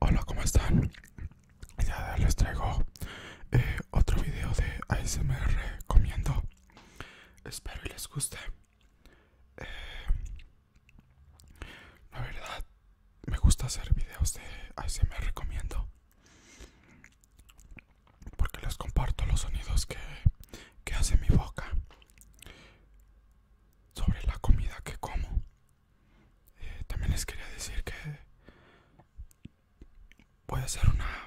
Hola, ¿cómo están? Ya les traigo eh, otro video de ASMR comiendo. Espero y les guste. Eh, la verdad, me gusta hacer videos de ASMR comiendo porque les comparto los sonidos que, que hace mi boca sobre la comida que como. Eh, también les quería decir que voy a hacer una,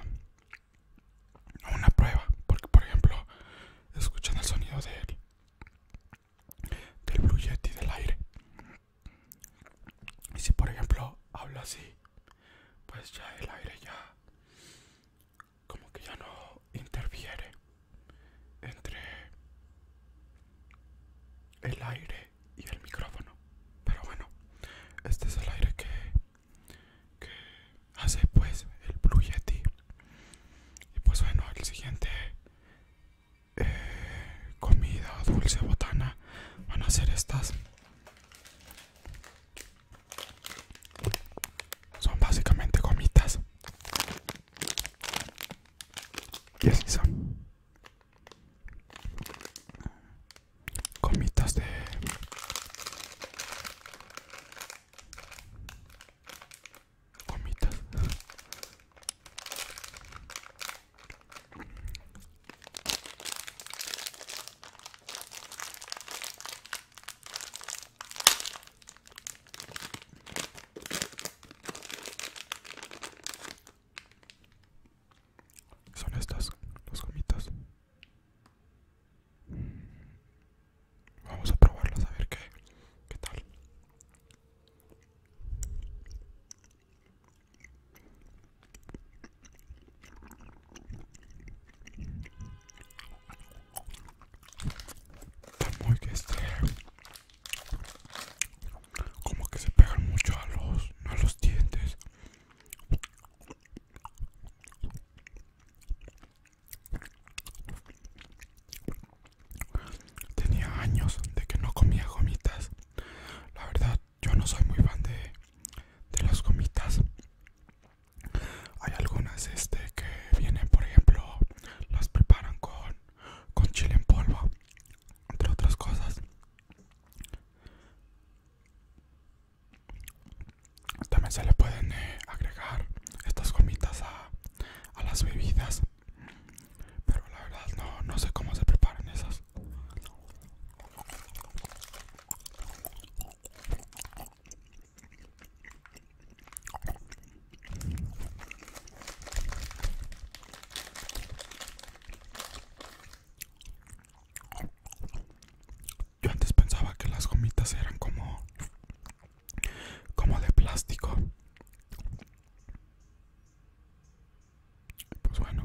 una prueba, porque por ejemplo escuchan el sonido del, del Blue del aire. Y si por ejemplo hablo así, pues ya el aire ya como que ya no interfiere entre el aire y el micrófono pero bueno este es el aire que, hace pues el Blue Yeti y pues bueno el siguiente eh, comida dulce botana van a ser estas son básicamente gomitas. Y son. Gomitas de... Gomitas. Son estas los gomitas. Vamos a probarlas a ver qué, qué tal muy que este, como que se pegan mucho a los a los dientes tenía años de que no comía gomitas la verdad yo no soy muy fan de, de las gomitas hay algunas este que vienen, por ejemplo, las preparan con, chile en polvo, entre otras cosas. También se le pueden eh, agregar estas gomitas a, las bebidas. Pero la verdad no, no sé cómo se preparan esas. Yo antes pensaba que las gomitas eran como como de plástico. Pues bueno.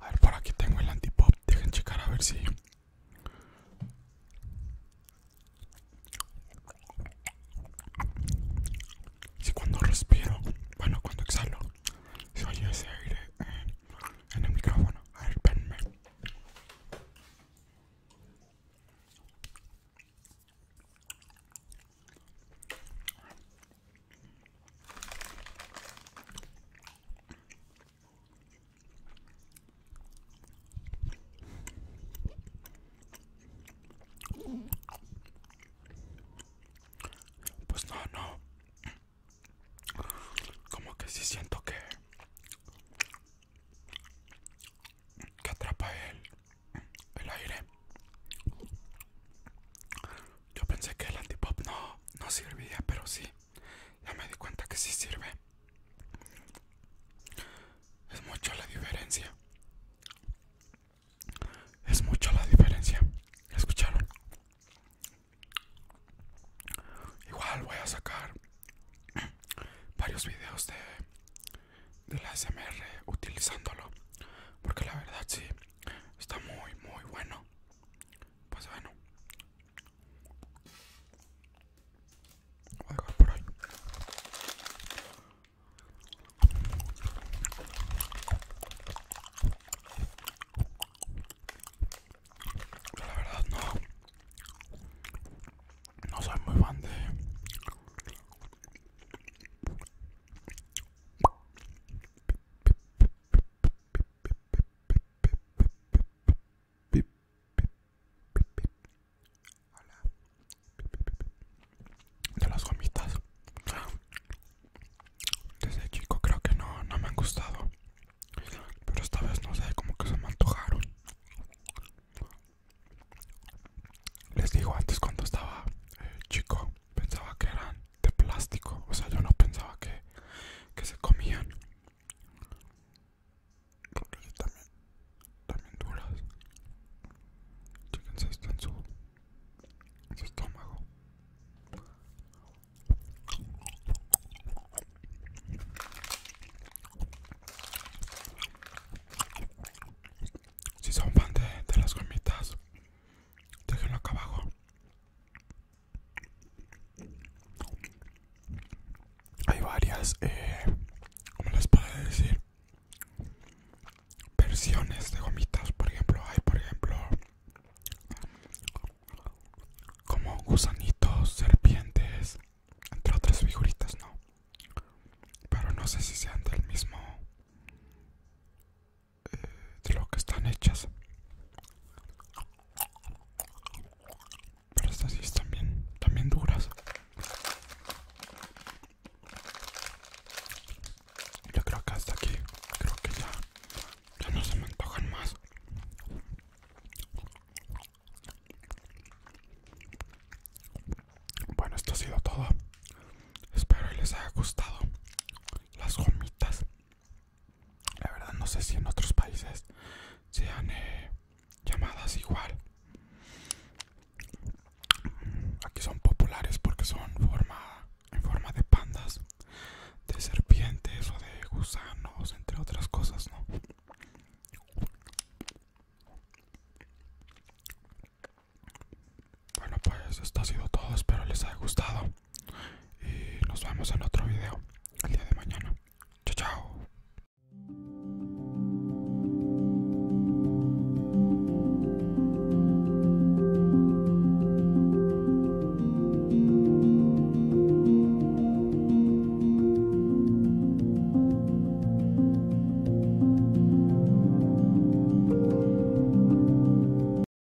A ver, por aquí tengo el antipop. Dejen checar a ver si. Si cuando respiro, bueno, cuando exhalo, se oye ese aire en el micrófono. A ver, venme. Pues no, no. Como que sí siento que que atrapa el el aire. Yo pensé que el antipop no, no servía, pero sí. Ya me di cuenta que sí sirve. Es mucho la diferencia. Es mucho la diferencia. ¿Escucharon? Igual voy a sacar varios videos de, de la SMR utilizándolo. Porque la verdad sí, está muy, muy bueno. Pues bueno, voy a por ahí. la verdad no, no soy muy fan de de las gomitas. Desde chico creo que no, me han gustado. Pero esta vez no sé, como que se me antojaron. Les digo, antes cuando estaba eh, chico pensaba que eran de plástico o sea yo no pensaba que, se comían porque también también duras Fíjense esto en su, estómago si son fan de las gomitas déjenlo acá abajo hay varias, eh, como les puedo decir, versiones de gomitas. Por ejemplo, hay, por ejemplo, como gusanitos, serpientes, entre otras figuritas, ¿no? Pero no sé si sean del mismo de lo que están hechas. Pero estas sí están bien, también duras. Yo creo que hasta aquí, creo que ya, ya no se me antojan más. Bueno, esto ha sido todo. Espero les haya gustado las gomitas la verdad no sé si en otros países sean eh, llamadas igual. Aquí son populares porque son forma, en forma de pandas, de serpientes o de gusanos, entre otras cosas, ¿no? Bueno, pues esto ha sido todo. Espero les haya gustado y nos vemos en otro video el día de mañana. Chao, chao.